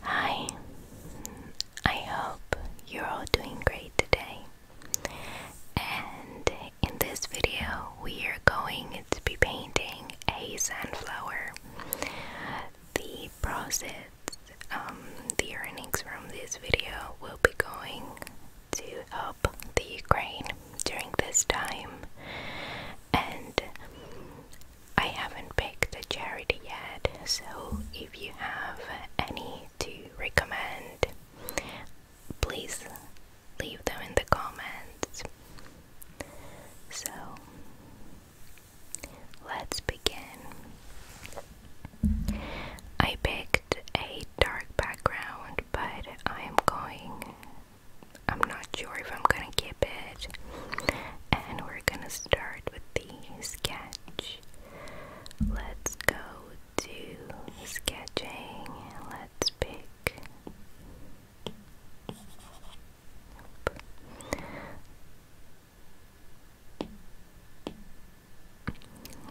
Hi, I hope you're all doing great today. And in this video, we are going to be painting a sunflower. The proceeds, um, the earnings from this video will be going to help the Ukraine during this time. And I haven't picked a charity yet, so if you have any to recommend, please leave them in the comments. So let's begin. I picked a dark background, but I'm going, I'm not sure if I'm gonna give and we're gonna start with the sketch. Let's go to sketching. Let's pick.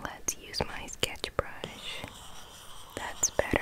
Let's use my sketch brush. That's better.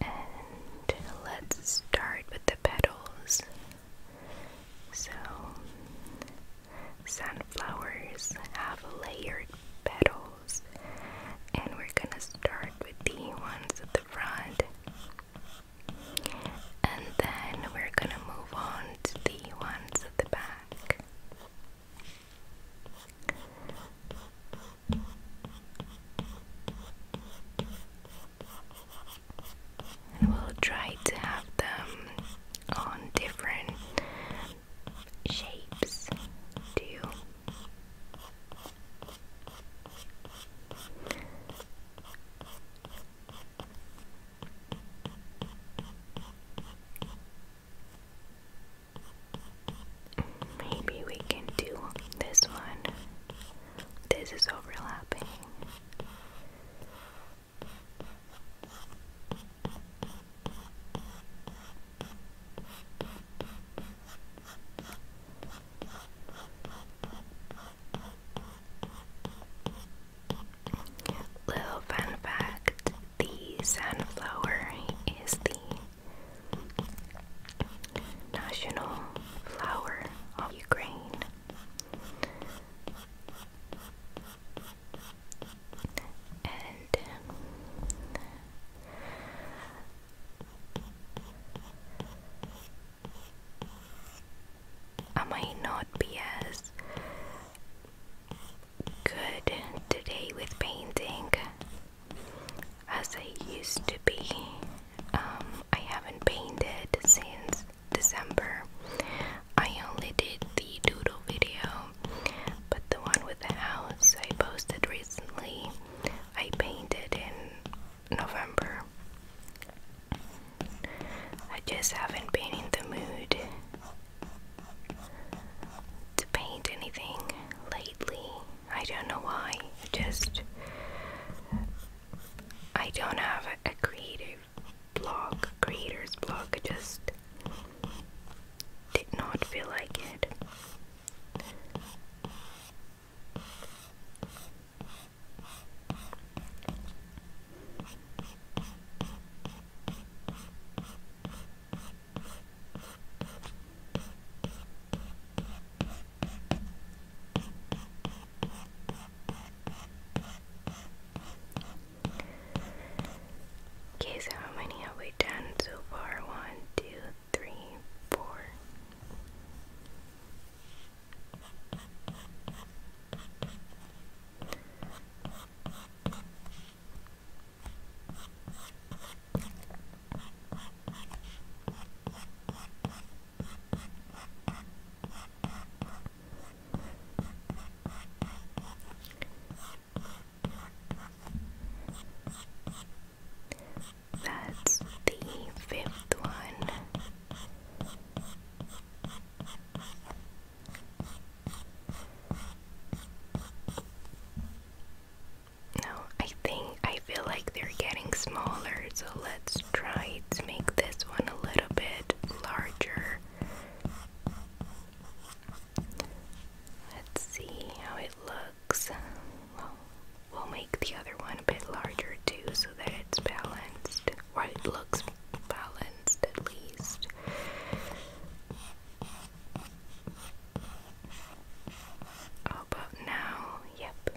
And let's start with the petals. So, sunflowers have layered petals, and we're gonna start with the ones at the front, and then we're gonna move on to the ones at the back we'll try to have them on different shapes to Maybe we can do this one this is overlapping. Little fun fact the sunflower is the National Flower of Ukraine. And um, I might not be as good today with painting as I used to be. Um, I haven't painted since December. I only did the doodle video, but the one with the house I posted recently, I painted in November. I just haven't been in the mood to paint anything lately. I don't know why. Just I don't have a, creative blog, creator's blog. I just did not feel like it. Okay, so how many have we done so far? One, two, three, four. That's the fifth one. No, I think I feel like they're getting smaller, so let's try to make this one a little bit larger. Let's see how it looks. we'll make the other one a bit larger too so that it's balanced, or looks balanced at least. How about now? Yep.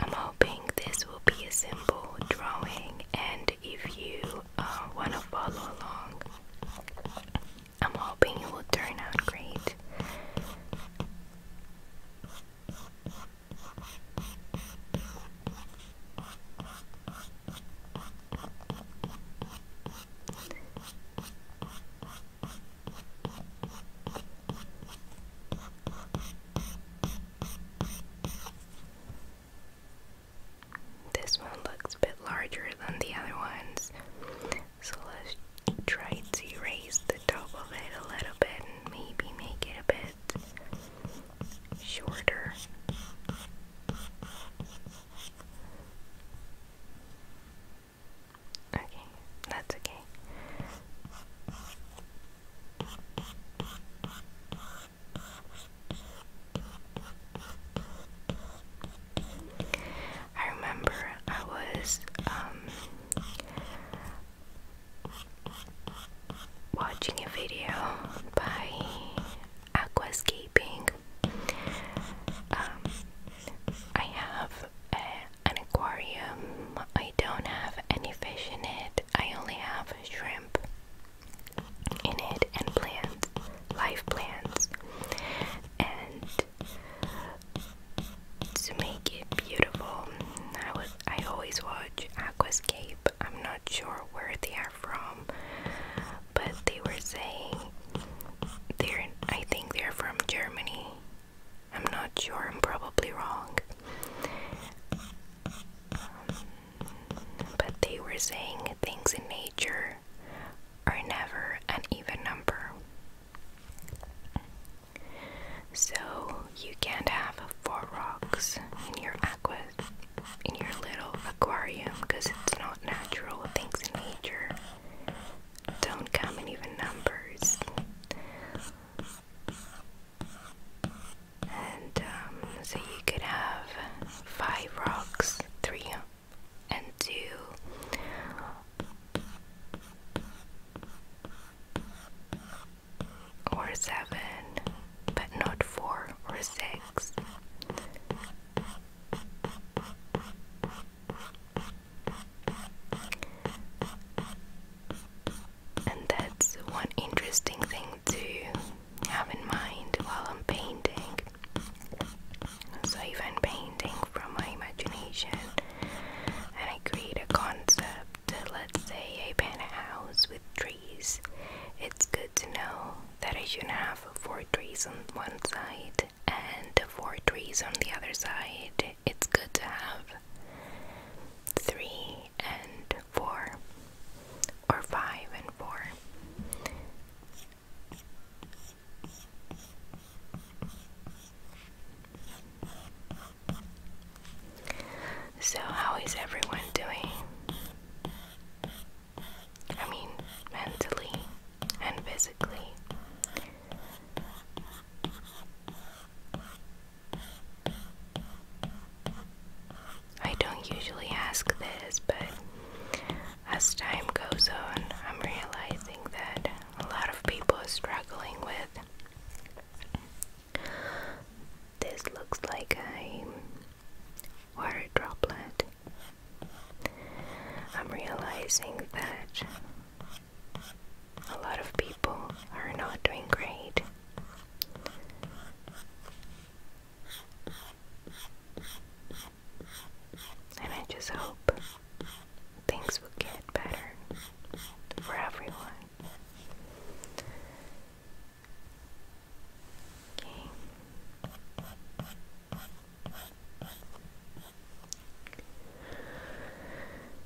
I'm hoping this will be a simple drawing, and if you uh, want to follow along, I'm hoping it will turn out great. This one looks a bit larger than the other ones, so let's try to erase the top of it a little bit and maybe make it a bit shorter. Okay, that's okay. I remember I was um, watching a video by Aquascaping. Um, I have a, an aquarium. I don't have any fish in it. I only have shrimp in it and plants, live plants. And to make it beautiful, I was I always watch Aquascape. I'm not sure where they are from, but they were saying they're I think they're from Germany I'm not sure, I'm probably wrong. but they were saying things in nature are never an even number. So you can't have four rocks in your aqua in your little aquarium because it's not natural. Things in nature don't come in even numbers. And um, so you could have five rocks, three and two. Or seven, but not four or six. And that's one interesting thing to have in mind while I'm painting. So, even painting from my imagination and I create a concept, let's say I paint a house with trees, it's good to know that I shouldn't have four trees on one side and four trees on the other side it's good to have three and four, or five and four. So, how is everyone doing? I mean, mentally and physically. I don't usually ask this, but as time goes on, I'm realizing that a lot of people are struggling with. This looks like a water droplet. I'm realizing that a lot of people are not doing great. And I just hope things will get better for everyone. Okay.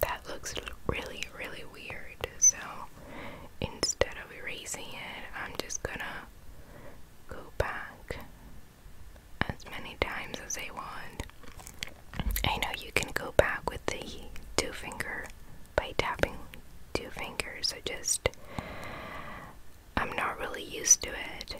That looks really, really weird. So instead of erasing it, I'm just gonna go back as many times as I want. I know you can go back with the two finger by tapping two fingers. I just, I'm not really used to it.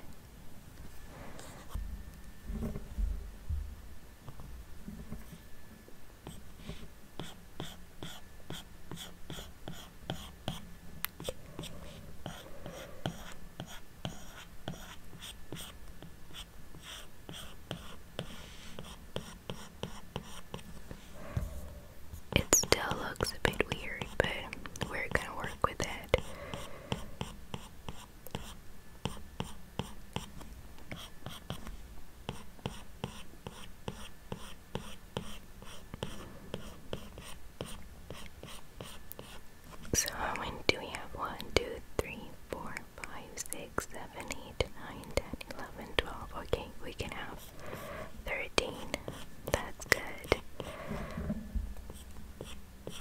It still looks a bit weird, but we're gonna work with it. So how many do we have? One, two, three, four, five, six, seven, eight, nine, ten, eleven, twelve. Okay, we can have thirteen. That's good.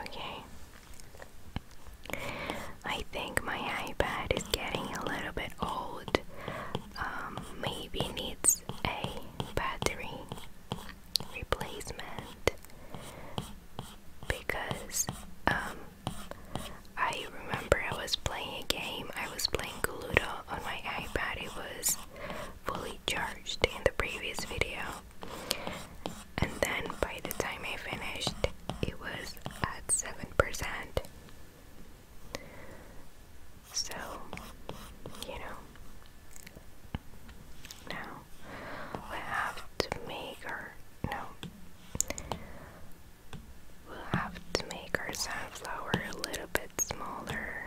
Okay. I think my iPad is getting a little bit old. Um, maybe needs a battery replacement because um, I remember I was playing a game, I was playing Guludo on my iPad, it was fully charged in the previous video. And then by the time I finished, it was at 7%. So, you know, now we have to make our, no, We'll have to make our sunflower a little bit smaller.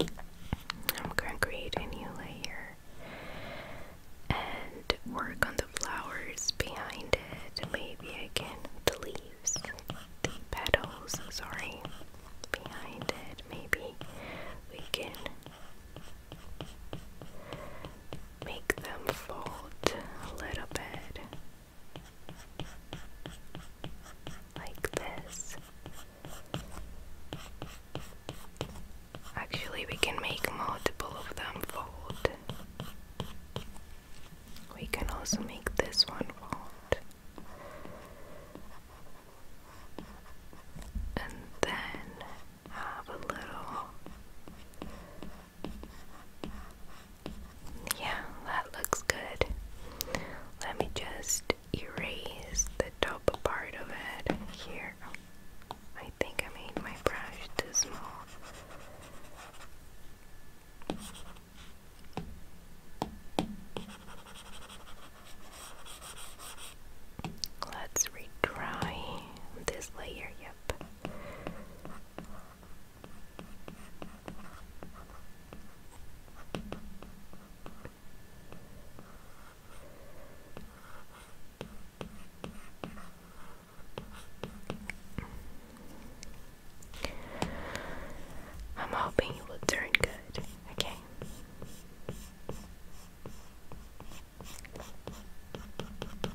I'm gonna create a new layer and work on the flowers behind it. Maybe I the leaves, the petals, sorry, behind it. Maybe we can make them fold a little bit like this. Actually, we can make multiple of them fold. We can also make this one fold. And then have a little yeah, that looks good. Let me just erase the top part of it here. I think I made my brush too small. Let's retry this layer, yep. I'm hoping it will turn good, okay?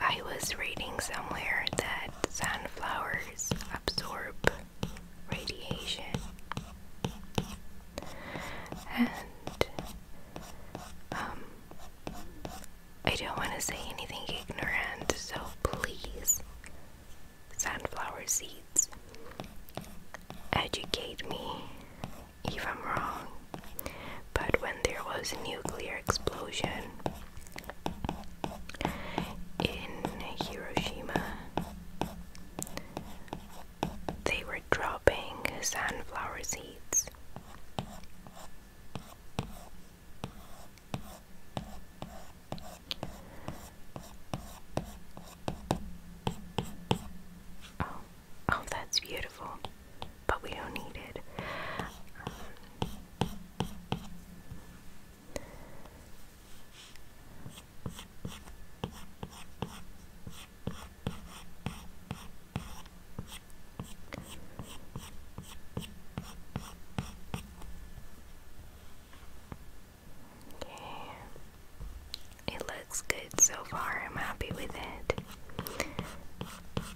I was reading somewhere that sunflowers absorb radiation, and um, I don't want to say anything ignorant, so please, sunflower seeds, educate me if I'm wrong. But when there was a nuclear explosion in Hiroshima, they were dropping sunflower seeds. Oh, oh, that's beautiful but we don't need it. Okay. It looks good so far. I'm happy with it.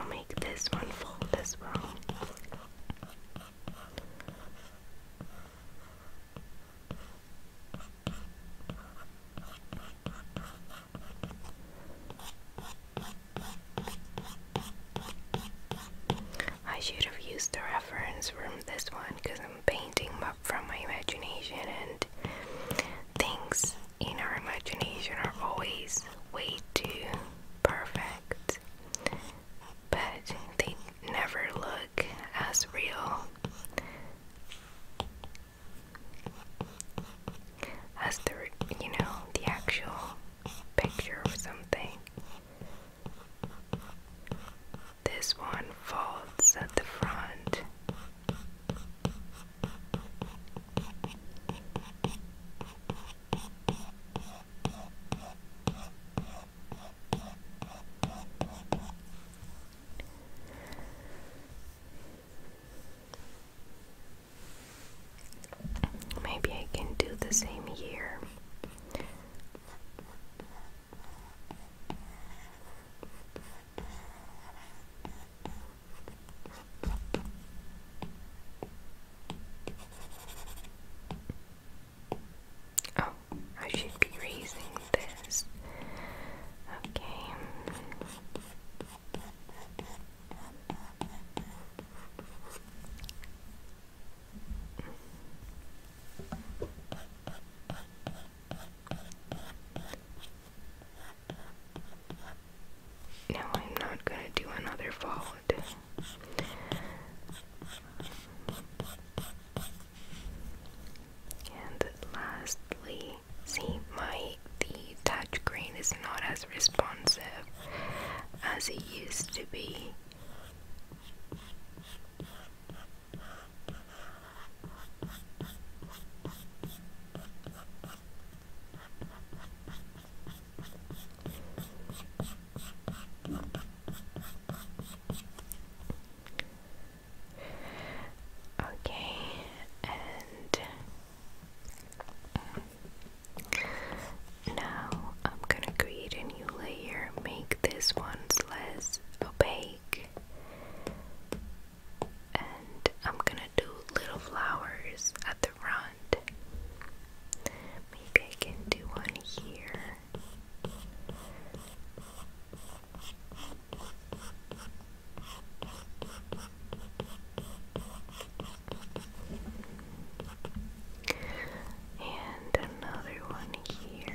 I'll make this one fold as well. I should have used the reference from this one because I'm painting from my imagination, and things in our imagination are always way too perfect but they never look as real as the you know the actual picture or something. This one folds at the front. Maybe I can do the same here. Oh, I should be raising this. Okay. Now I'm not going to do another fold. And lastly, see my the touchscreen is not as responsive as it used to be. Okay, and now I'm gonna create a new layer, make this one less opaque, and I'm gonna do little flowers at the front. Maybe I can do one here. And another one here.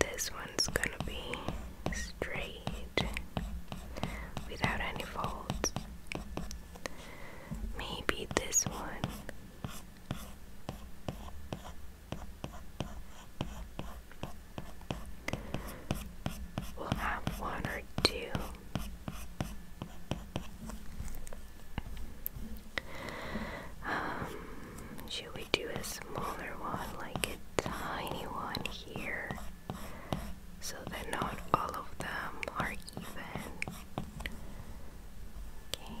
This one's gonna be straight without any folds. Maybe this one. will have one or two. Um, should we do a smaller one, like a tiny one here, so that not all of them are even? Okay.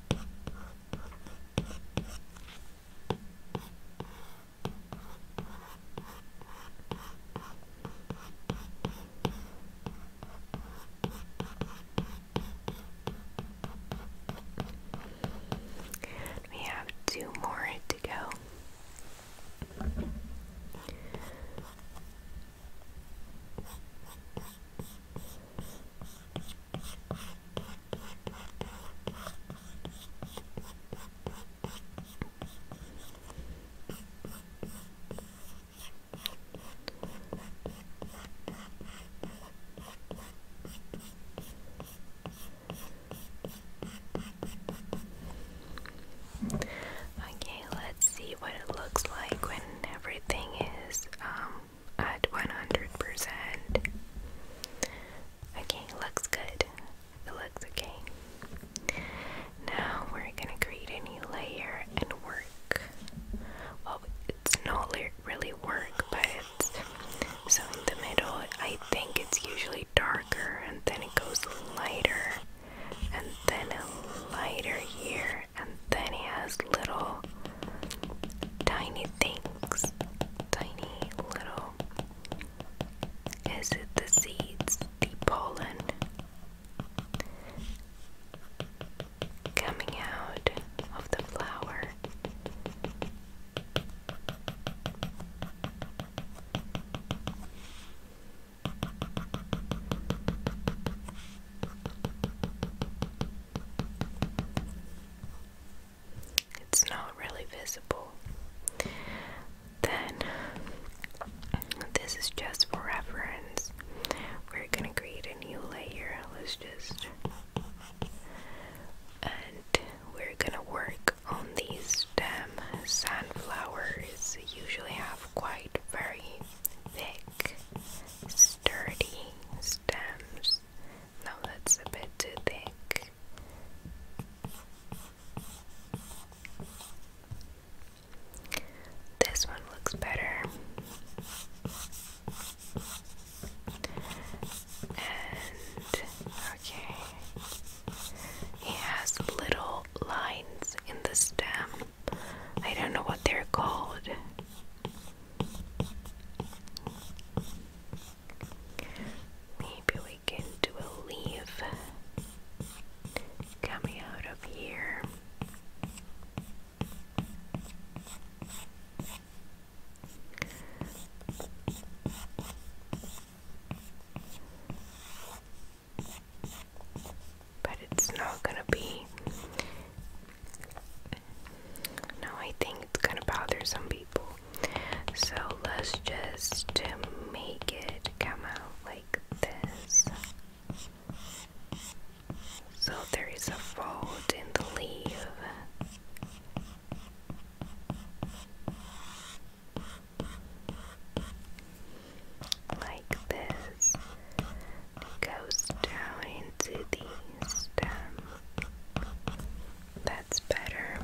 We have two more to go. Okay, let's see what it looks like when everything is um, at 100%. Okay, looks good. It looks okay. Now we're gonna create a new layer and work. Well, it's not really work, but it's in the middle, I think it's usually darker and then it goes lighter and then lighter here and then he has little tiny things. Tiny little. Is it the seeds? The pollen coming out of the flower. It's not really visible. Then, this is just for reference. We're gonna create a new layer. Let's just. And we're gonna work on these stem sunflowers. Usually have quite very thick, sturdy stems. No, that's a bit too thick. This one looks better. And okay, he has little lines in the stem. I don't know what they're called. Maybe we can do a leaf coming out of here. But it's not gonna be no, I think it's gonna bother some people. So let's just make it come out like this. So there is a fold in the leaf. Like this goes down into the stem. That's better.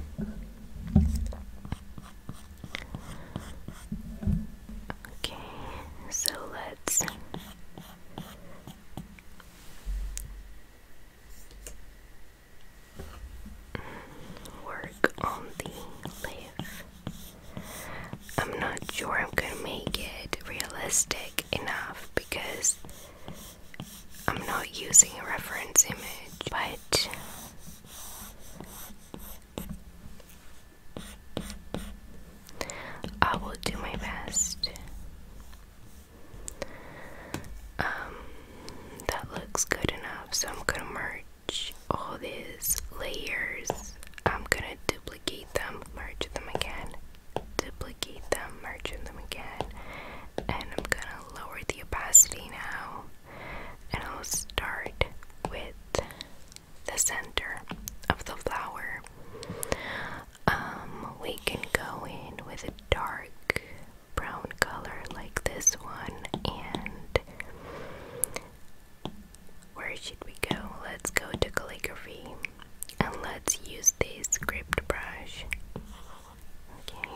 Okay, so let's work on the leaf. I'm not sure I'm gonna make it realistic enough because I'm not using a reference image, but I will do my best. Um, that looks good enough, so I'm gonna merge all these layers. I'm gonna duplicate them, merge them again duplicate them, merge them again, and I'm gonna lower the opacity now, and I'll start with the center of the flower. Um, we can go in with a dark brown color like this one, and where should we go? Let's go to calligraphy and let's use the script brush okay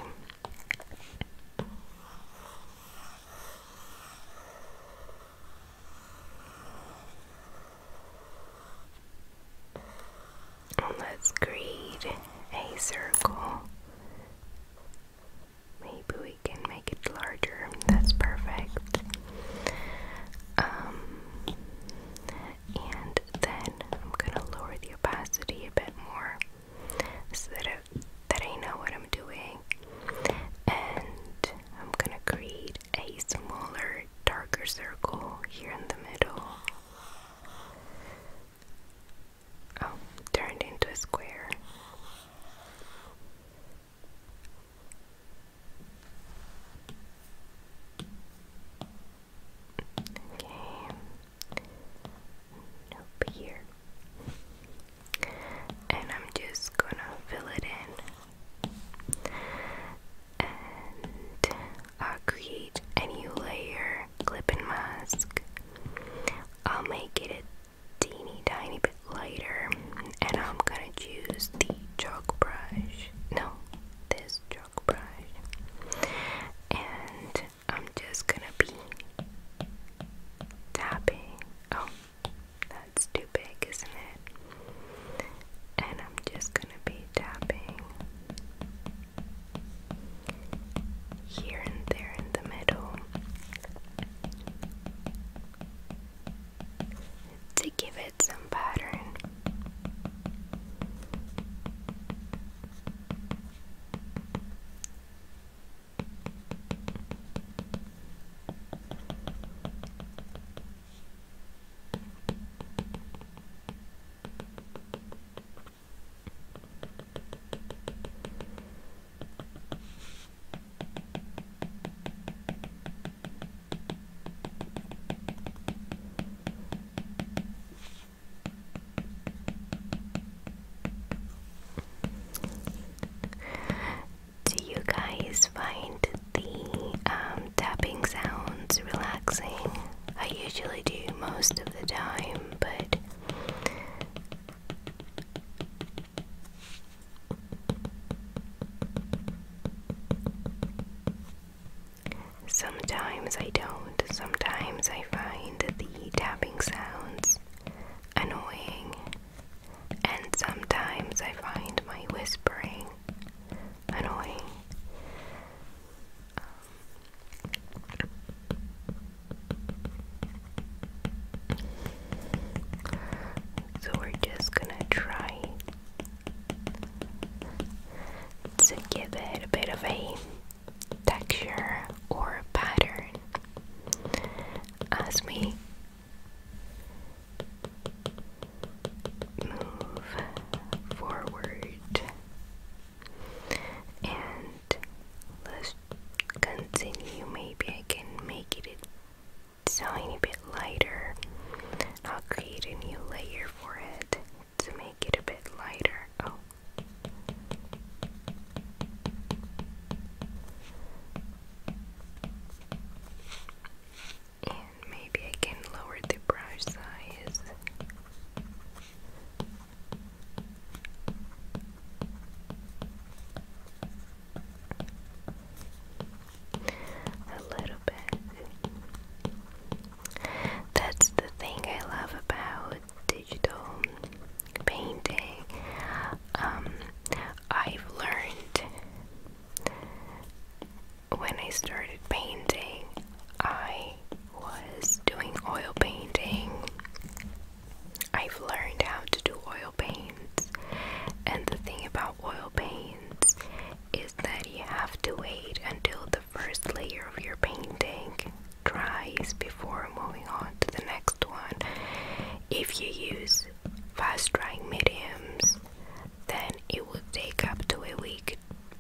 let's create a circle Maybe we can make it larger. That's perfect. Um, and then I'm gonna lower the opacity a bit more so that that I know what I'm doing and I'm gonna create a smaller darker circle here in the middle oh turned into a square Okay. Nope, here. And I'm just gonna fill it in. And I'll create a new layer, clip and mask. I'll make it a teeny tiny bit lighter. And I'm gonna choose the chalk brush. No, this chalk and I'm just gonna be tapping. Oh, that's too big, isn't it? And I'm just gonna be tapping here and there in the middle to give it some pattern. Do you guys find the um, tapping sounds relaxing? I usually do most of the time, but Sometimes I don't. Sometimes I find the tapping sounds annoying. And sometimes I find my whispering annoying. so we're just gonna try to give it a bit of a texture or pattern as we move forward and let's continue maybe I can make it a tiny bit lighter I'll create a new layer for it to make it a bit lighter. Oh. And maybe I can lower the brush size. A little bit. That's the thing I love about digital painting. Um, I've learned when I started painting, I was doing oil painting. I've learned how to do oil paints, and the thing about oil paints is that you have to wait until the first layer of your painting dries before moving on to the next one. If you use fast drying mediums, then it will take up to a week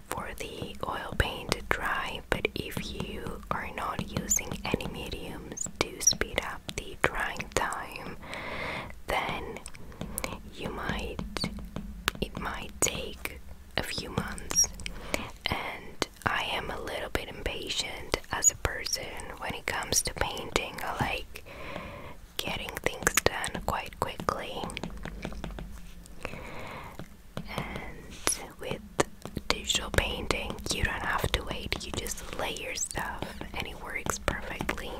for the oil paint to dry. But if you are not using any mediums to speed up the drying time, then you might it might take a few months and I am a little bit impatient as a person when it comes to painting. I like getting things done quite quickly. And with digital painting, you don't have to wait, you just lay your stuff and it works perfectly.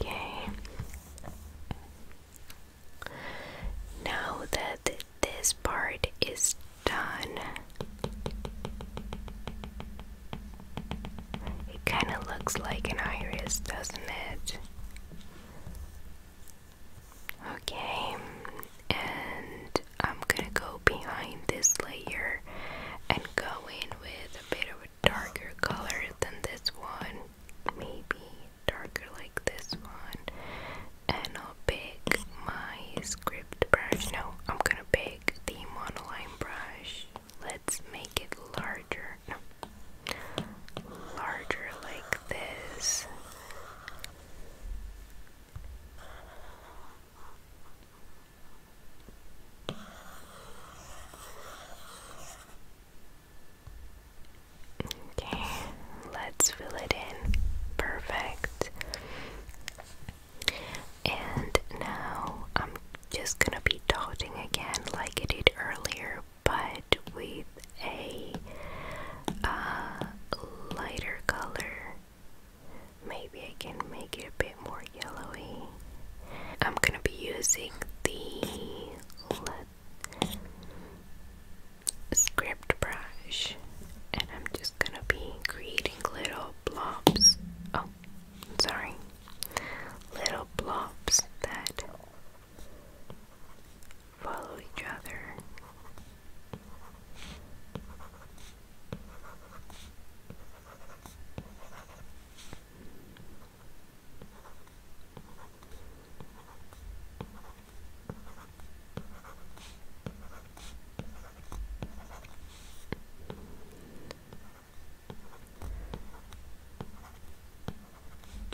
Okay. Now that this part is done. It kind of looks like an iris, doesn't it? Okay, and I'm gonna go behind this layer and go in with a bit of a darker color than this one. Maybe darker like this one, and I'll pick my script brush. No, I'm gonna pick the monoline brush. Let's make it larger. larger like this. Okay, let's fill it in. Perfect. And now I'm just gonna be dotting again like I did earlier, but with a uh, lighter color. Maybe I can make it a bit more yellowy. I'm gonna be using the let, brush and I'm just gonna be creating little blobs. Oh, sorry. Little blobs that follow each other.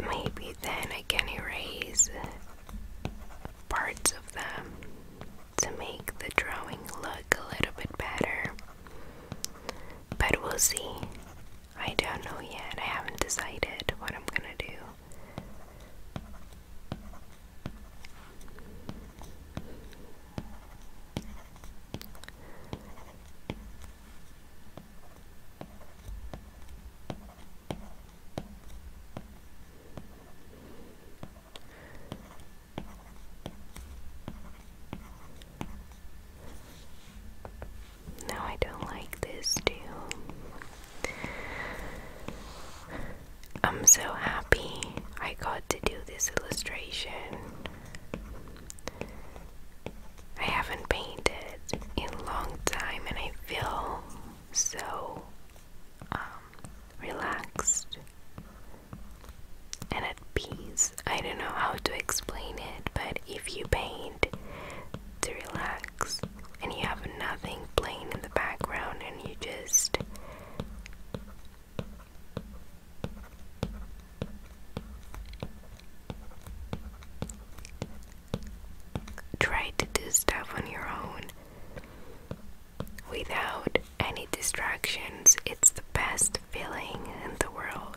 Maybe then I can erase parts of them to make the drawing look a little bit better. But we'll see. I don't know yet. I haven't decided what I'm gonna do. Now I don't like this too. I'm so happy I got to do this illustration. I haven't painted in a long time and I feel so um, relaxed and at peace. I don't know how to explain it, but if you paint to relax and you have nothing plain in the background and you just Try to do stuff on your own without any distractions. It's the best feeling in the world.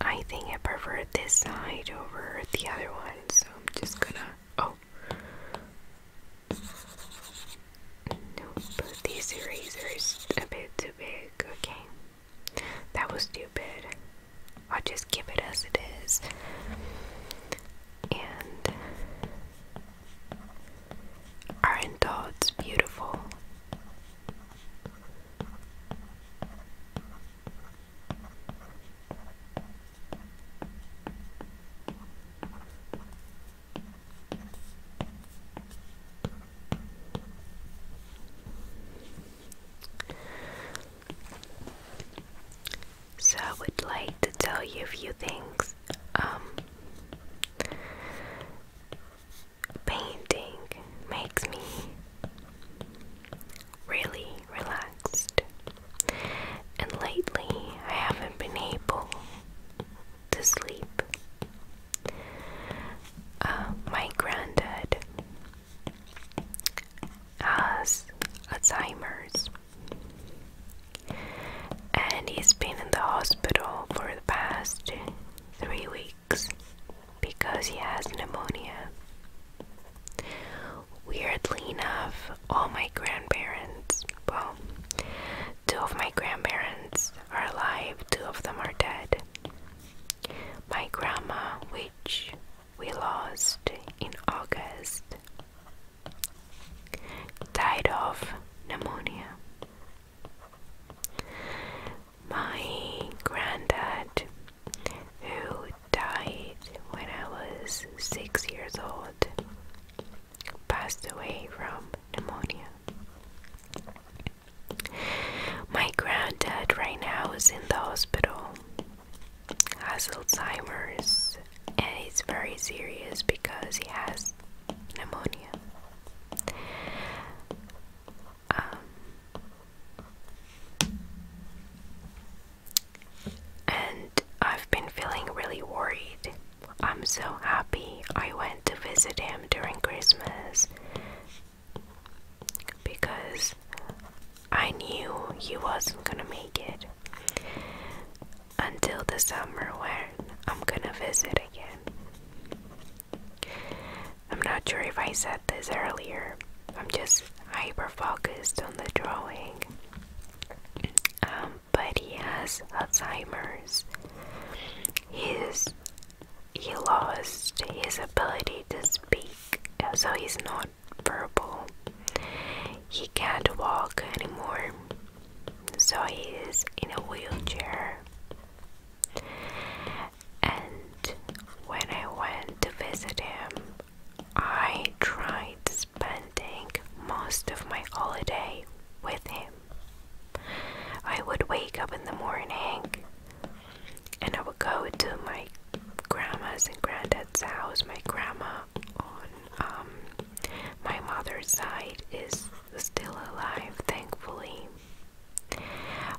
I think I prefer this side over the other one, so I'm just gonna. Oh. No, but this eraser a bit too big. Okay. That was stupid. I'll just keep it as it is. And. Aren't thoughts beautiful? So I would like to tell you a few things. Um, Painting makes me really relaxed, and lately I haven't been able to sleep. Uh, my granddad has Alzheimer's, and he's been in the hospital for the past three weeks because he has pneumonia. Weirdly enough, all my grandparents, well, two of my grandparents are alive, two of them are dead. My grandma, which we lost in August, died of pneumonia. My granddad, who died when I was six years old, passed away from pneumonia. My granddad, right now, is in the hospital, has Alzheimer's, and he's very serious because he has pneumonia. Um, and I've been feeling really worried. I'm so happy I went to visit him during Christmas because I knew he wasn't gonna make it until the summer when I'm gonna visit again. I'm not sure if I said this earlier, I'm just hyper focused on the drawing. Um, but he has Alzheimer's. He's, he lost his ability to speak, so he's not verbal. He can't walk anymore, so he's in a wheelchair. And when I went to visit him, I tried spending most of my holiday with him. I would wake up in the morning and I would go to my grandma's and granddad's house. My grandma on um, my mother's side is still alive, thankfully.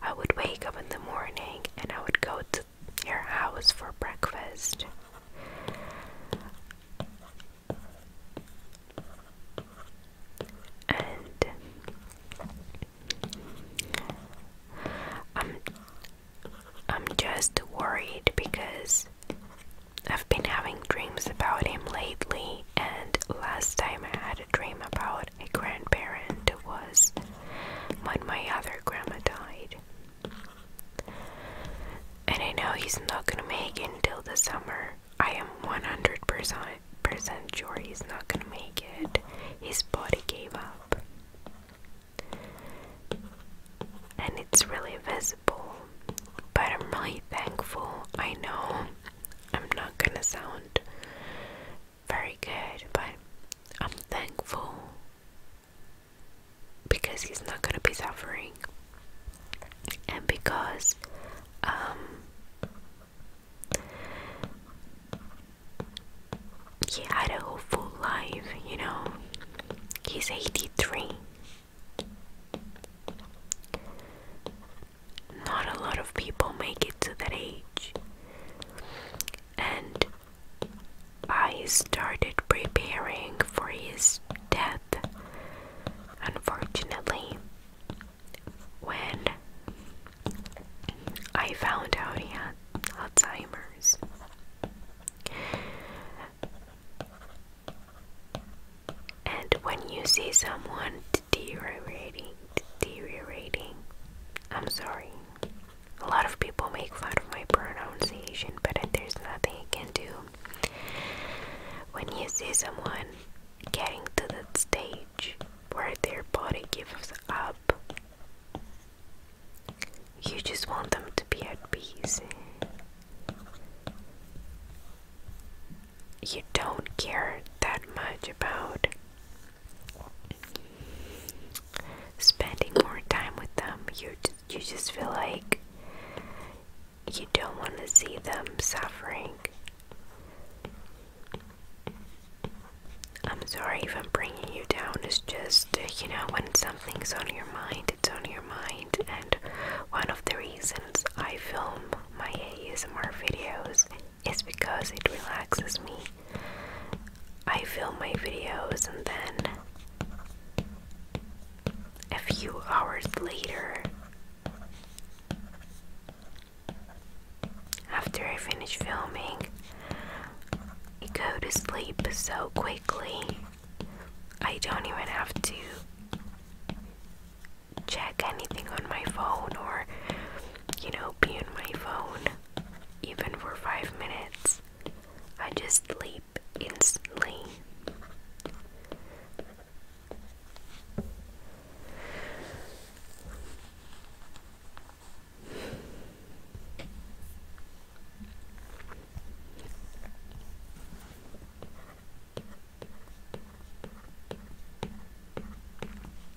I would wake up in the morning and I would go to your house for breakfast. And I'm I'm just worried because I've been having dreams about him lately and last time I had a dream about a grandparent was when my other grandma died. And I know he's not gonna make it until the summer. I am 100% sure he's not gonna make it. His body gave up. And it's really visible. But I'm really thankful. I know I'm not gonna sound very good, but I'm thankful because he's not gonna be suffering, and because um, he had a hopeful life, you know. He's 83 not a lot of people make it to that age. And I started preparing for his death, unfortunately, when I found out he had Alzheimer's. And when you see someone deteriorating, deteriorating. I'm sorry. A lot of people make fun of my pronunciation, but there's nothing you can do. When you see someone getting to the stage where their body gives up, you just want them to be at peace. You don't care that much about spending more time with them you you just feel like you don't want to see them suffering i'm sorry if i'm bringing you down it's just uh, you know when something's on your mind it's on your mind and one of the reasons i film my asmr videos it's because it relaxes me. I film my videos and then a few hours later, after I finish filming, I go to sleep so quickly. I don't even have to check anything on my phone or you know, be in my phone even for five minutes. I just sleep instantly.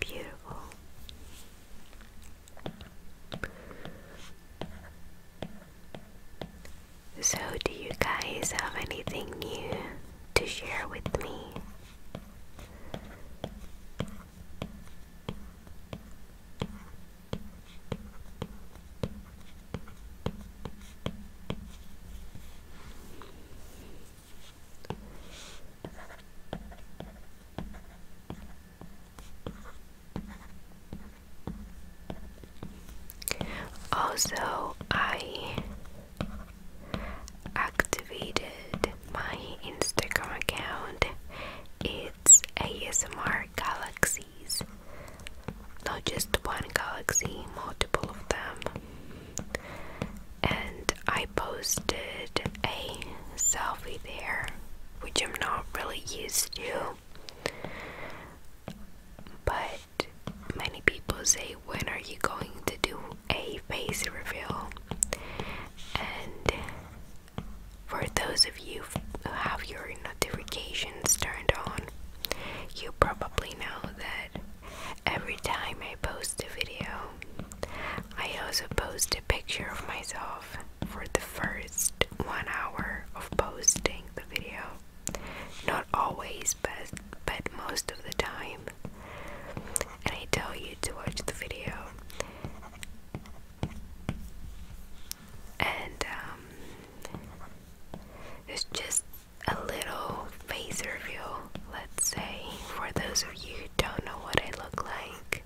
Beautiful. So, do you guys have anything new to share with me? Also, I activated my Instagram account. It's ASMR Galaxy. Not just one galaxy, multiple of them. And I posted a selfie there, which I'm not really used to. But many people say, When are you going to do a face reveal? And for those of you who have your notifications turned on, you probably know that every time I post a video, I also post a picture of myself for the first one hour of posting the video. Not always, but, but most of the time. And I tell you to watch the video. And um, it's just a little phaser view, let's say, for those of you who don't know what I look like.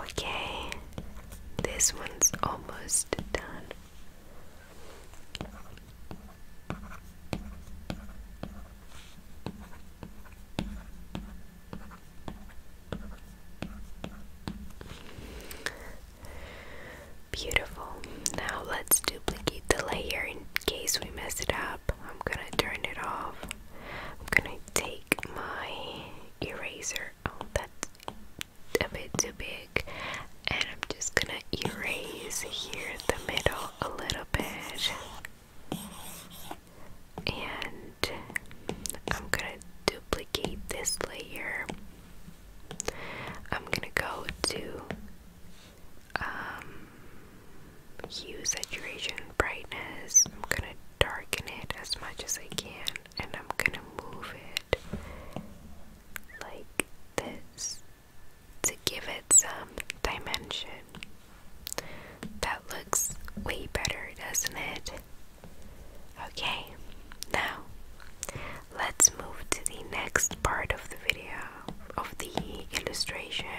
Okay, this one's almost done. Beautiful. Now let's duplicate the layer in case we mess it up. I'm gonna turn it off. I'm gonna take my eraser. Oh, that's a bit too big and I'm just gonna erase here the middle a little bit and I'm gonna duplicate this layer I'm gonna go to um, hue saturation brightness I'm gonna darken it as much as I can and I'm gonna move it like this to give it some dimension. That looks way better, doesn't it? Okay, now let's move to the next part of the video, of the illustration.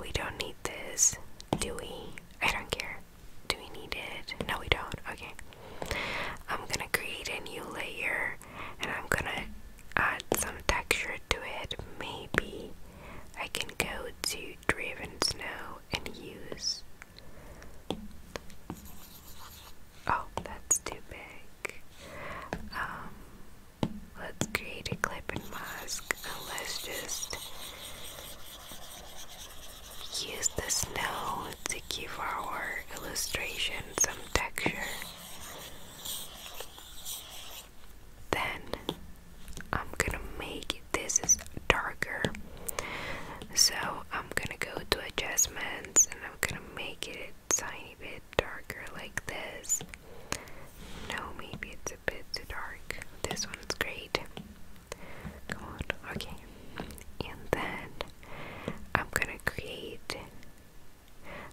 We don't need this, do we? I don't care. Do we need it? No, we don't. Okay. I'm gonna create a new layer and I'm gonna add some texture to it. Maybe I can go to Driven Snow and use. Oh, that's too big. Um, let's create a clip and mask and let's just use the snow to give our illustration some texture. Then I'm gonna make this is darker. So I'm gonna go to adjustments and I'm gonna make it tiny bit darker like this. No, maybe it's a bit too dark. This one's great. Come on. Okay, and then I'm gonna create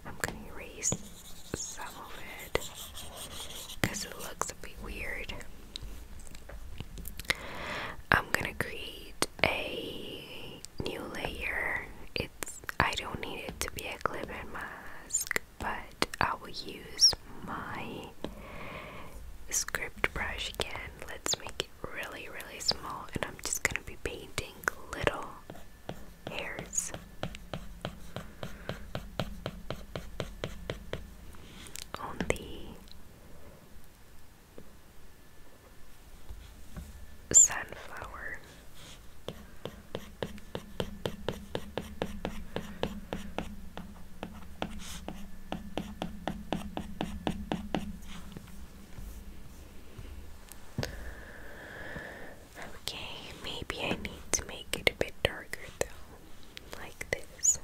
I'm gonna erase some of it because it looks a bit weird. I'm gonna create a new layer. It's I don't need it to be a clip mask, but I will use my script brush again. Let's make it really, really small, and I'm just gonna be painting little hairs. On the sunflower, Okay, maybe I need to make it a bit darker though, like this.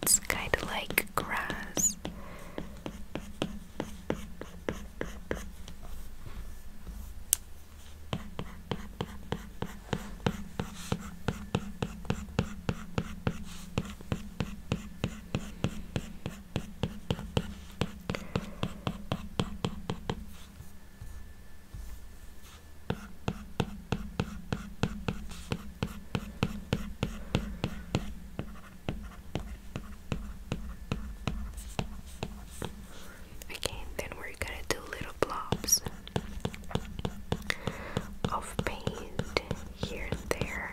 It's kind of like grass. Okay, then we're gonna do little blobs of paint here and there.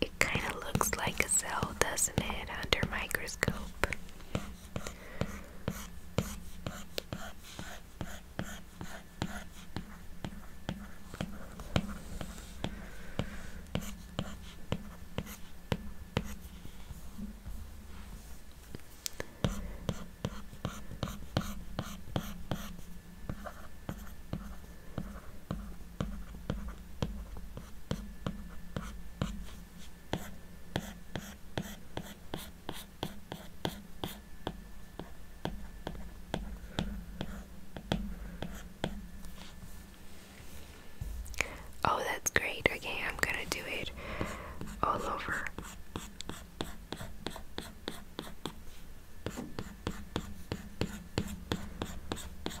it kind of looks like a cell, doesn't it, under microscope? Oh, that's great. Okay, I'm gonna do it all over.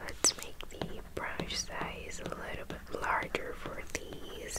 Let's make the brush size a little bit larger for these.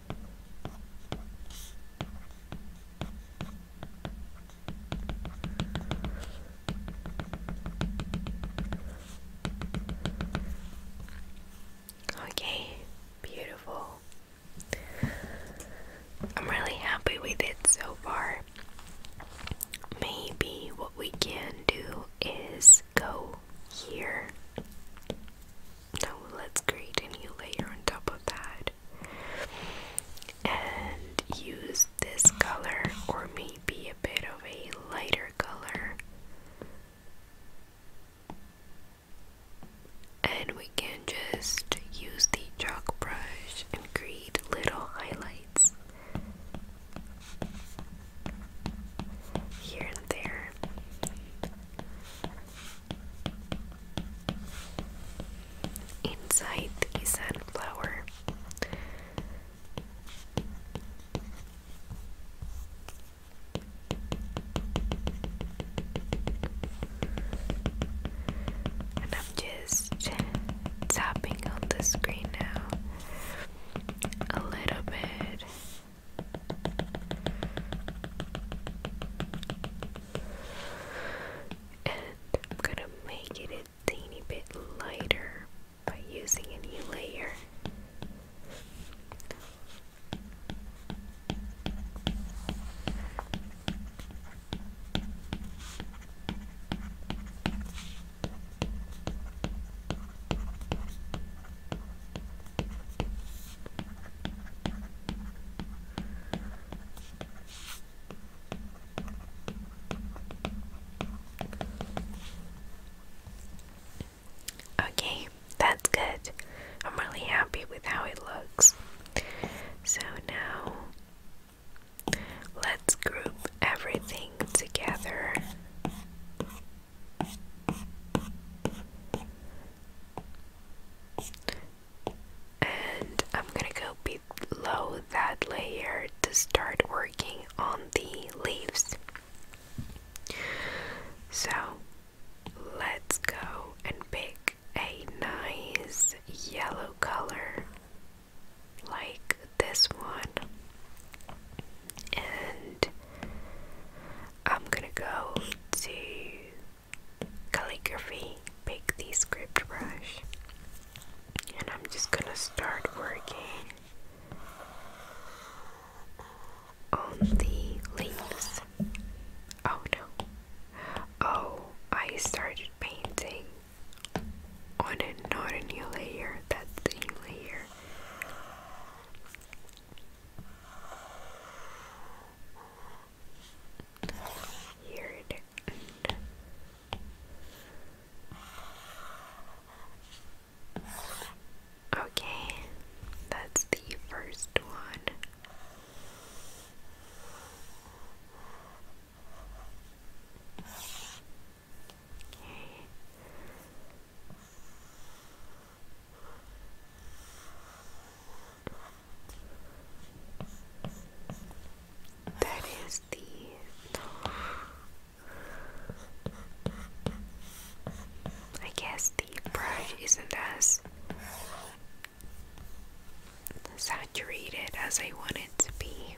Okay, beautiful. I'm really happy with it so far. Maybe what we can do is go here now let's create a new layer on top of that and use this color or maybe a bit of a lighter color. And we can just use the chalk brush and create little highlights here and there. Inside the sunflower. And I'm just tapping on the screen now a little bit and I'm gonna make it a teeny bit lighter by using a new layer. Okay, that's good. I'm really happy with how it looks. So now let's group everything together. And I'm gonna go below that layer to start working on the leaves. So let's go and pick a nice yellow color like this one and I'm gonna go to calligraphy, pick the script brush, and I'm just gonna start working on the leaves. Oh no. Oh, I started painting on a not a new layer, that's the new layer. Weird. Okay, that's the first one. That is the I guess the brush isn't as saturated as I want it to be.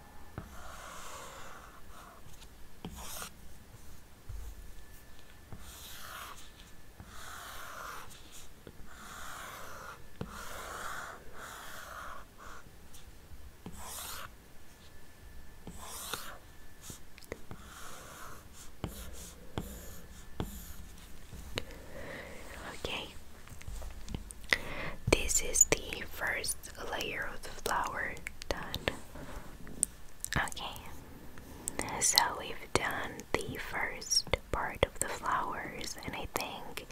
Okay, this is the first layer of the flower done. Okay, so we've done the first part of the flowers, and I think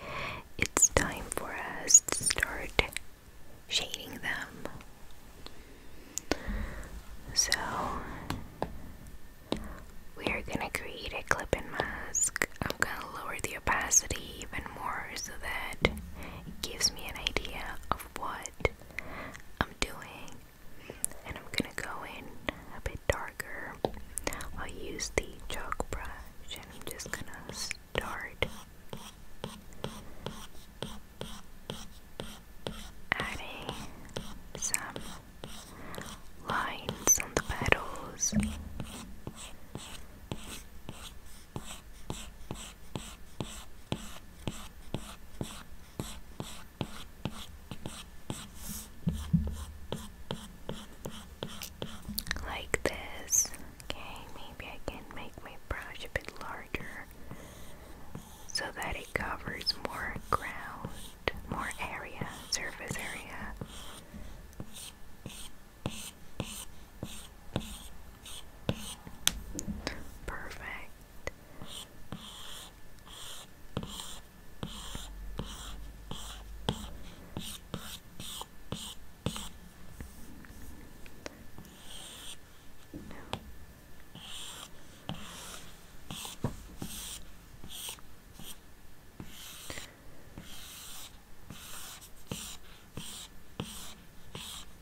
it's time for us to start shading them. So we're gonna create a clip and mask. I'm gonna lower the opacity even more so that it gives me an idea of what I'm doing. And I'm gonna go in a bit darker. I'll use the chalk brush and I'm just gonna start adding some lines on the petals. Like this. Okay, maybe I can make my brush a bit larger so that it covers more ground, more area, surface area. Perfect. No.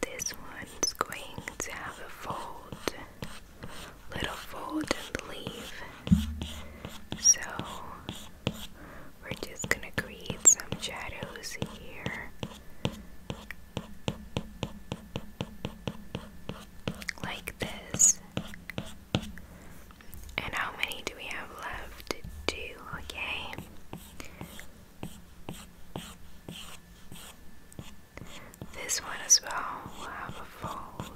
This one's going to have a fold little fold and the So we're just gonna create some shadows here. Like this. And how many do we have left? Two, okay. This one as well will have a fold.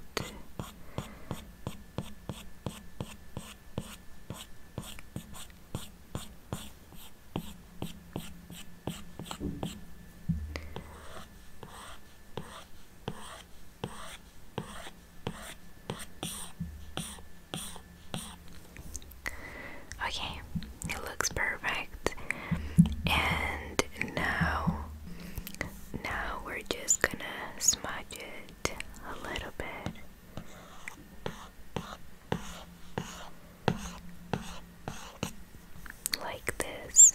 Okay, it looks perfect and now now we're just gonna smudge it a little bit like this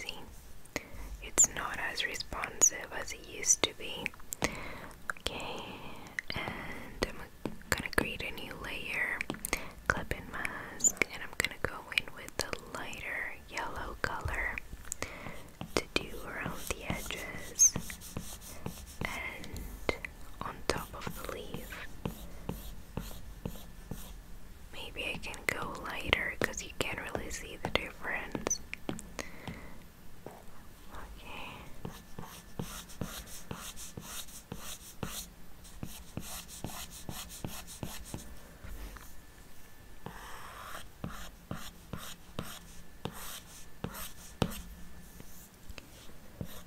See, it's not as responsive as it used to be. Okay, and I'm gonna create a new layer, clip and mask, and I'm gonna go in with the lighter yellow color to do around the edges and on top of the leaf. Maybe I can go lighter because you can't really see the difference. Okay.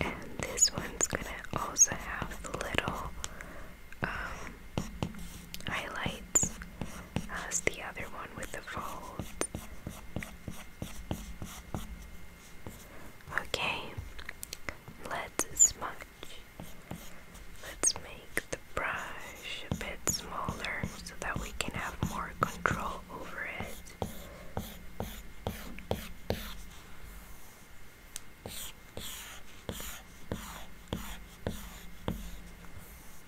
And this one's going to also have little um, highlights as the other one with the fold. Okay, let's smudge. Let's make the brush a bit smaller so that we can have more control over it.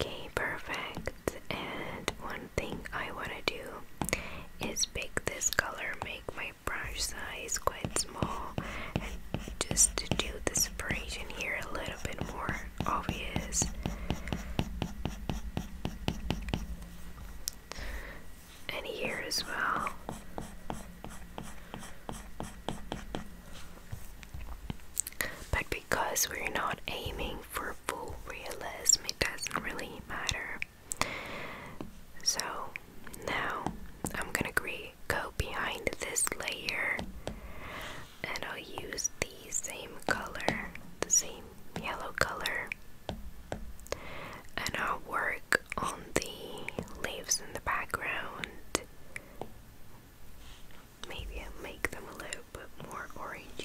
Okay, perfect. And one thing I want to do is pick this color, make my brush size quite small and just to do the separation here a little bit more obvious and here as well but because we're not aiming for full realism it doesn't really matter so now I'm gonna go behind this layer and I'll use the same color, the same yellow color, and I'll work on the leaves in the background. Maybe I'll make them a little bit more orangey.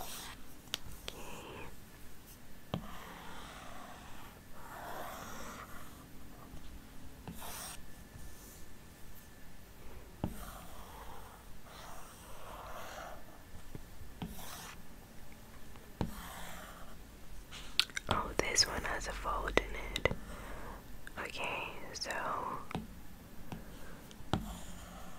Okay. Oh, this one has a fold in it. Okay, so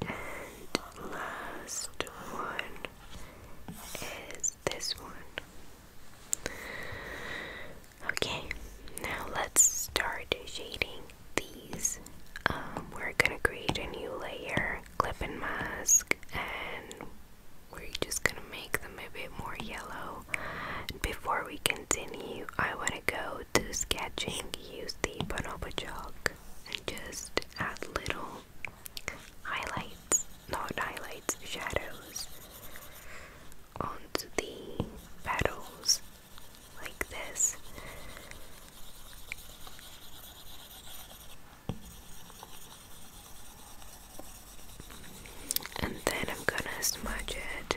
And last one is this one. Okay, now let's start shading these. Um, we're gonna create a new layer, clipping mask, and we're just gonna make them a bit more yellow. Before we continue, I want to go to sketching, use the bonobo chalk, and just add little highlights, not highlights, shadows onto the petals like this. And then I'm gonna smudge it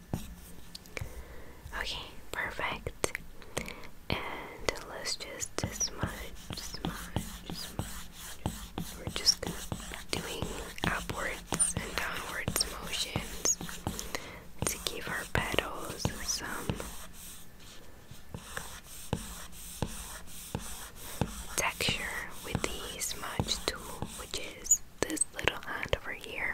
Okay, perfect. And let's just smudge, We're just doing upwards and downwards motions to give our petals some texture with the smudge tool, which is this little hand over here.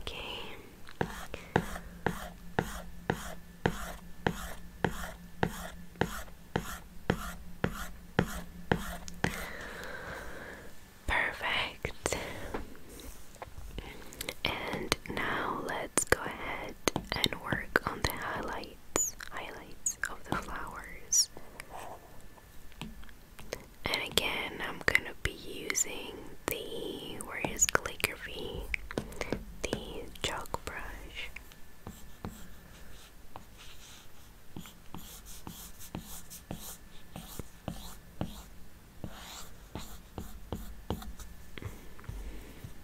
Okay. Perfect. And now let's go ahead and work on the highlight highlights, of the flowers. And again, I'm going to be using the, where is calligraphy, the chalk brush.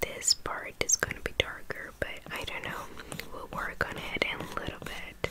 This part is going to be darker, but I don't know. We'll work on it in a little bit.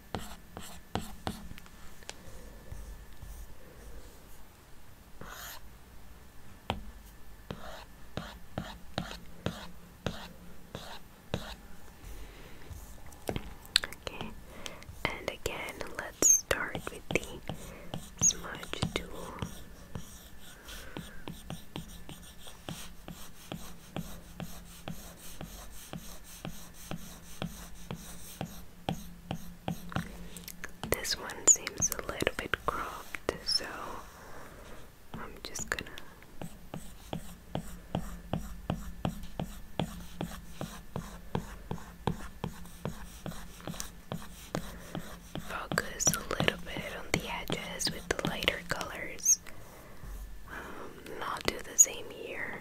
Okay, and again, let's start with the smudge tool. This one seems a little bit cropped, so I'm just gonna. Focus a little bit on the edges with the lighter colors. and um, I'll do the same here.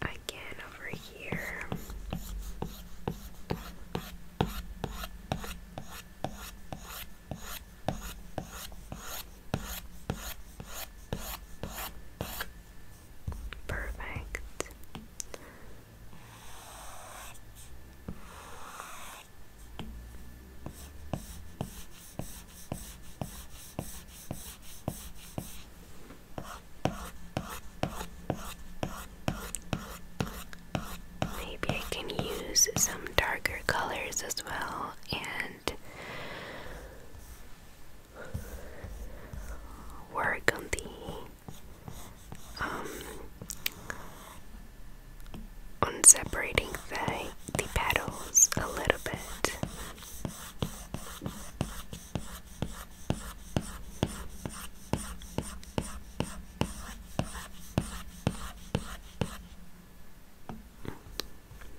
And again over here. Perfect. Maybe I can use some darker colors as well and work on the um, on separating the the petals a little bit.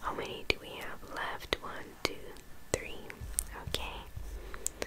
How many do we have left? One, two, three. Okay.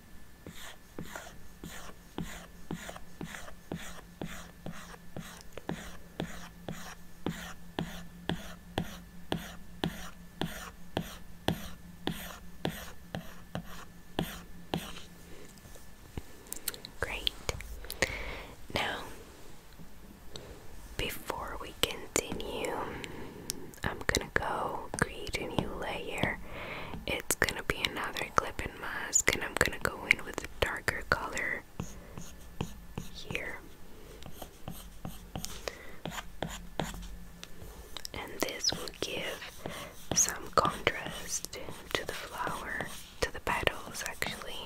Great. Now, before we continue, I'm gonna go create a new layer. It's gonna be another clip foundation mask and I'm gonna go in with a darker color here. And this will give some contrast to the flower, to the petals actually.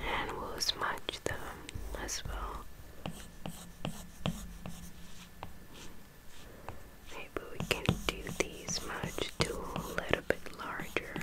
And we'll smudge them as well. Maybe we can do these much too a little bit larger.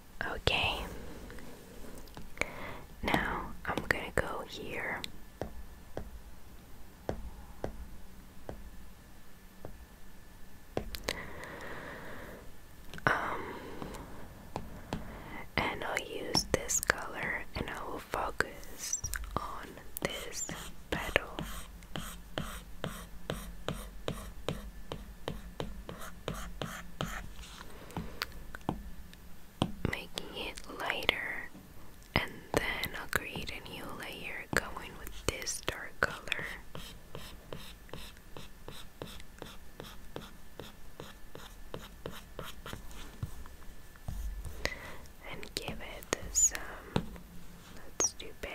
Okay. Now I'm gonna go here. Um, and I'll use this color and I will focus on this petal making it lighter and then I'll create a new layer going with this dark color and give it some um, let's do big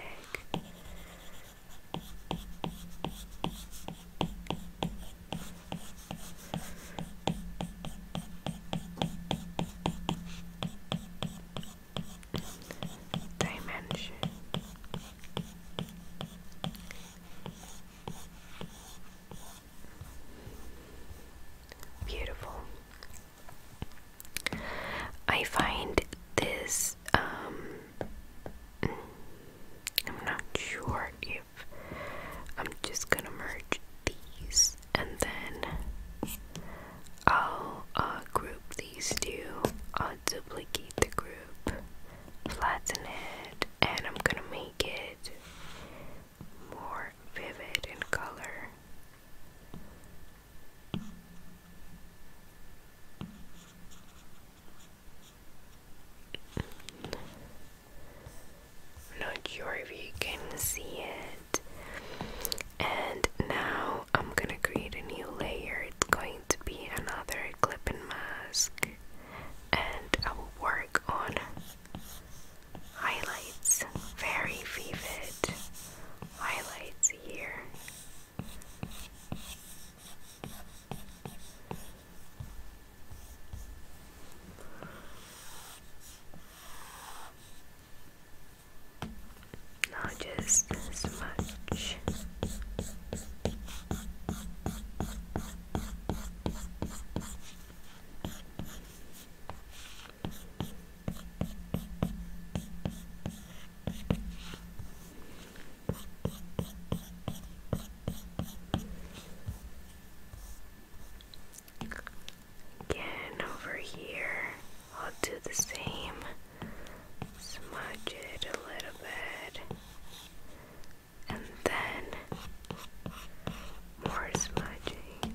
dimension. Beautiful. I find this um, I'm not sure if I'm just gonna merge these and then I'll uh, group these two. I'll duplicate the group, flatten it, and I'm gonna make it more vivid in color. I'm not sure if you can see it. And now I'm gonna create a new layer. It's going to be another clip and mask, and I will work on highlights, very vivid highlights here. Now just this Again, over here, I'll do the same. Smudge it a little bit. And then more smudging.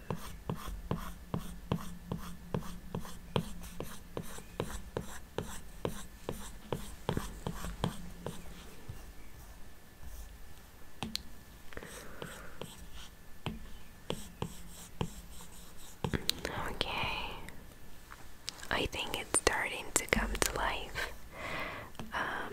Okay, I think it's starting to come to life. Um,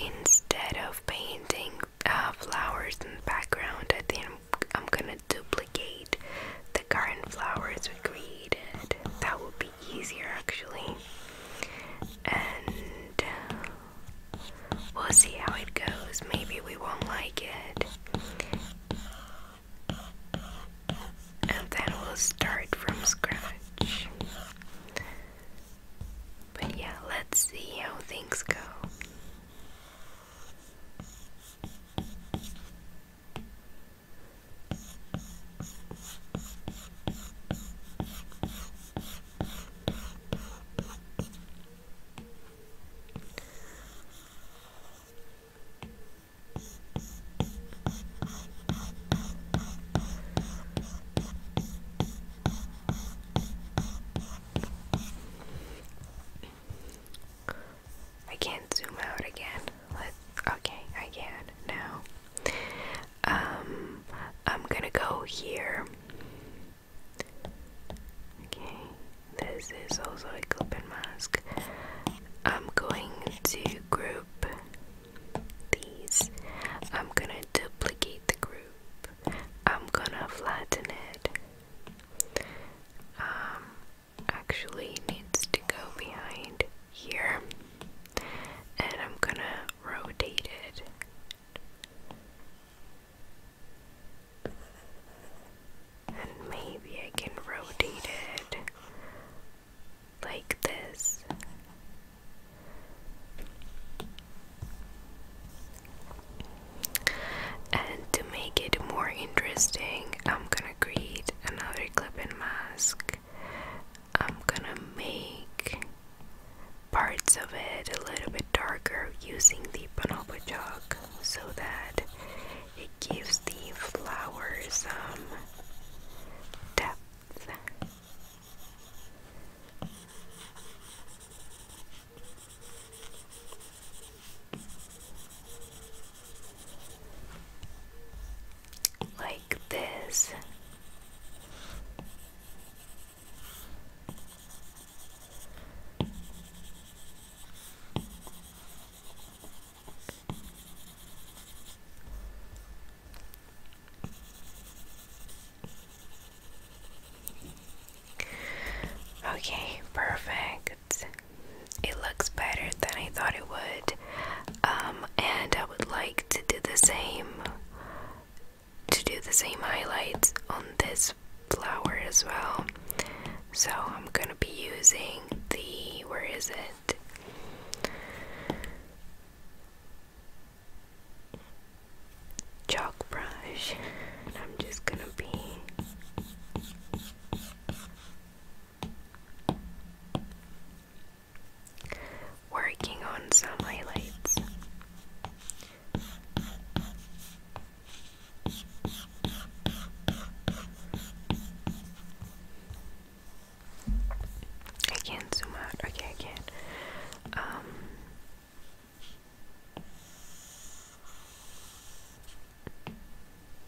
Instead of painting uh, flowers in the background, I think I'm, gonna duplicate the garden flowers we created. That will be easier actually. And uh, we'll see how it goes. Maybe we won't like it. And then we'll start from scratch. But yeah, let's see how things go. I can't zoom out again let okay, I can now. Um, I'm gonna go here. Okay, this is also a clipping mask. I'm going to group these. I'm gonna duplicate the group. I'm gonna flatten it. Um, actually needs to go behind here, and I'm gonna rotate it. And maybe I can rotate it like this. And to make it more interesting, I'm gonna create another clip and mask. I'm gonna make parts of it a little bit darker using the bonobo chalk so that it gives the flowers some depth like this. Okay, perfect it looks better than I thought it would. Um, and I would like to do the same to do the same highlights on this flower as well. So I'm gonna be using the where is it? Chalk brush, and I'm just gonna be Working on some highlights. I can't zoom out. Okay, I can. Um,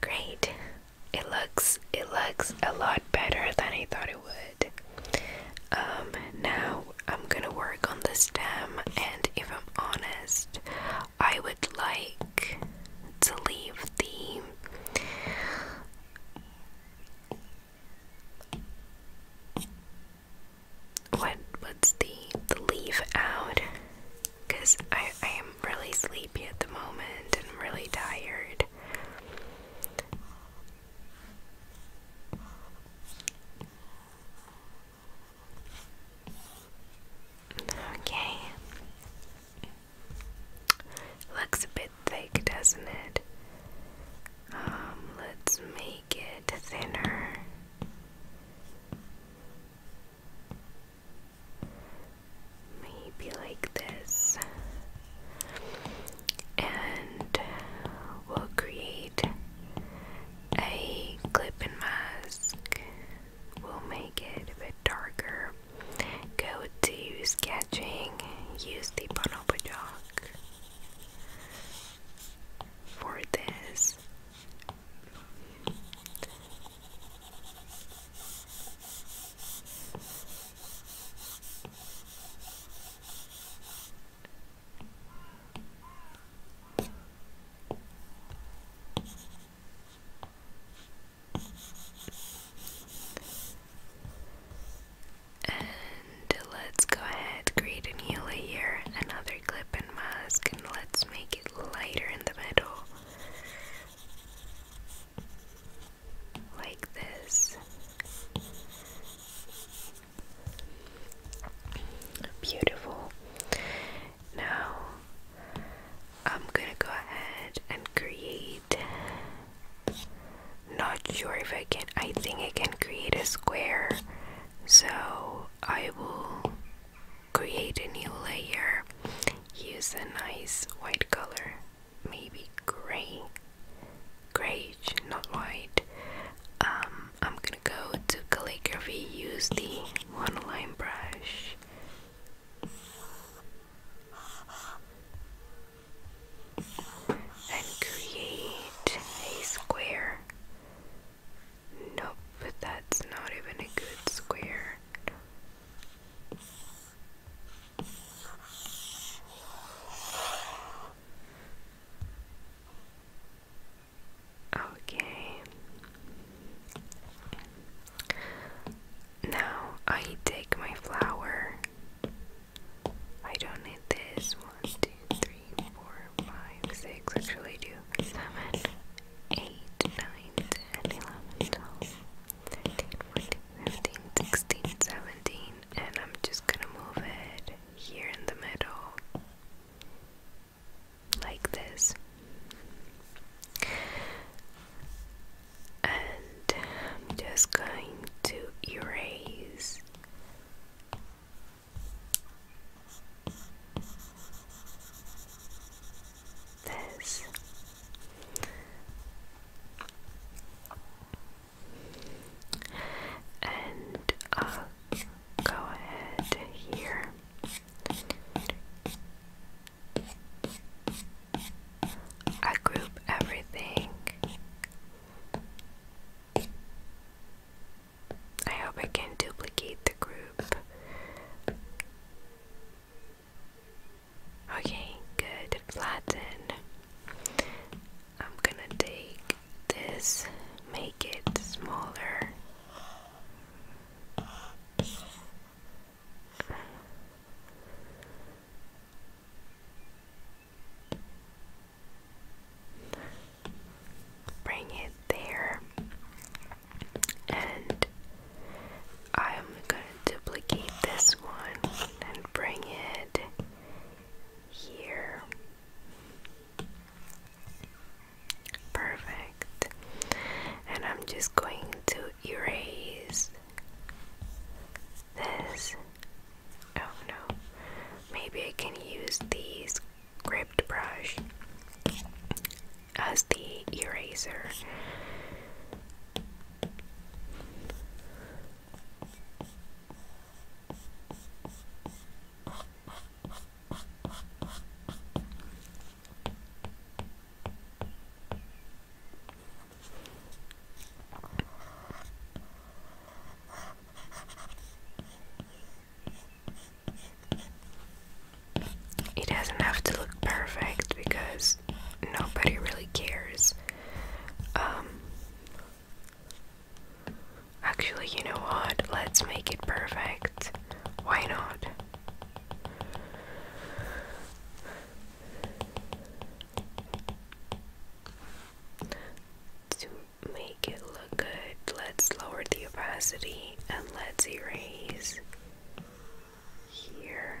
Great. It looks it looks a lot better than I thought it would. Um, now I'm gonna work on the stem, and if I'm honest, I would like to leave the what what's the the leaf out because I, I am really sleepy at the moment and I'm really tired Okay. Looks a bit thick, doesn't it? Um, let's make it thinner. Maybe like this and we'll create a clip and mask. We'll make it a bit darker. Go to sketching, use the bonobo chalk for this. And let's go ahead, create a new layer, another clip and mask, and let's make it lighter in the middle. Like this. Beautiful. Now I'm gonna go ahead and create. Not sure if I can, I think I can create a square. So I will create a new layer. Use a nice white color, maybe gray. Great, not white. Um, I'm gonna go to calligraphy, use the one line brush. And create a square. Nope, that's not even a good square. Okay. Now I take my flower. I don't need this. One, two, three, four, five, six. Actually, do. Seven, eight, nine, ten, eleven, twelve, thirteen, fourteen, fifteen, sixteen, seventeen, and I'm just gonna move it here in the middle like this and I'm just going to erase this and i uh, go ahead here. I group everything. I hope I can duplicate the group. Okay, good. Flatten. I'm gonna take this, make it smaller. Bring it there, and I'm going to duplicate this one and bring it here. Perfect. And I'm just going to erase this. Oh no. Maybe I can use the script brush as the eraser. It doesn't have to look perfect because nobody really cares. Um, Actually, you know what? Let's make it perfect. Why not? To make it look good, let's lower the opacity and let's erase here.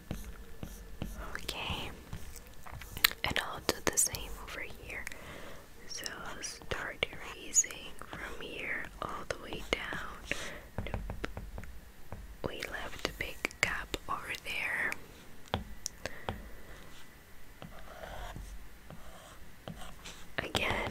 Okay, and I'll do the same over here. So I'll start erasing from here all the way down. We left a big gap over there. Again.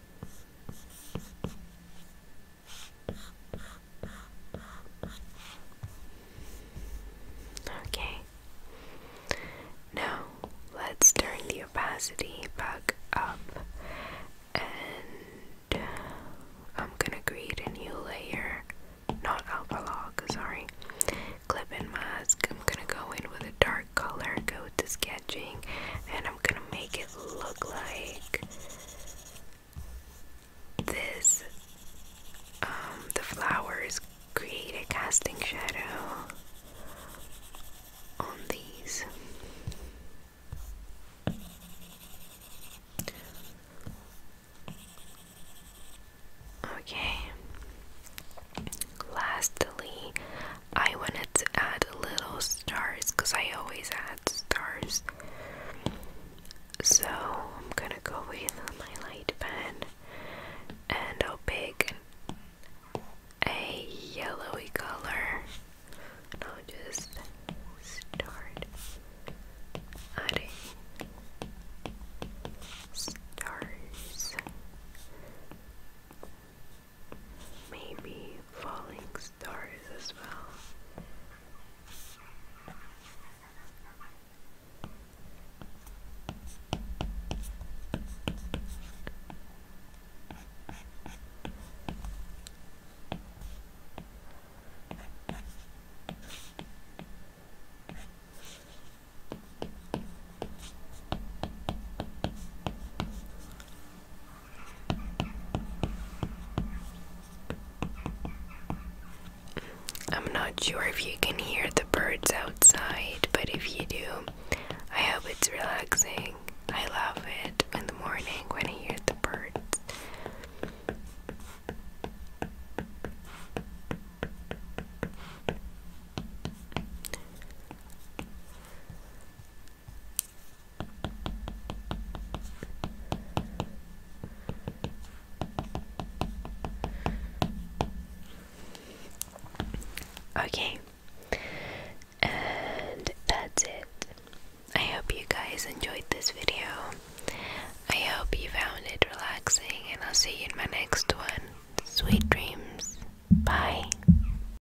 Okay. Now let's turn the opacity back up and I'm gonna create a new layer. Not alpha log, sorry. Clip and mask. I'm gonna go in with a dark color, go to sketching, and I'm gonna make it look like this. Um, the flowers create a casting shadow on these. Okay. Lastly, I wanted to add little stars because I always add stars. So I'm gonna go with my light pen and I'll pick a yellowy color and I'll just start adding stars maybe falling stars as well. I'm not sure if you can hear the birds outside, but if you do, I hope it's relaxing. I love it in the morning when I hear the birds. Okay, and that's it. I hope you guys enjoyed this video. I hope you found it relaxing, and I'll see you in my next one. Sweet dreams. Bye.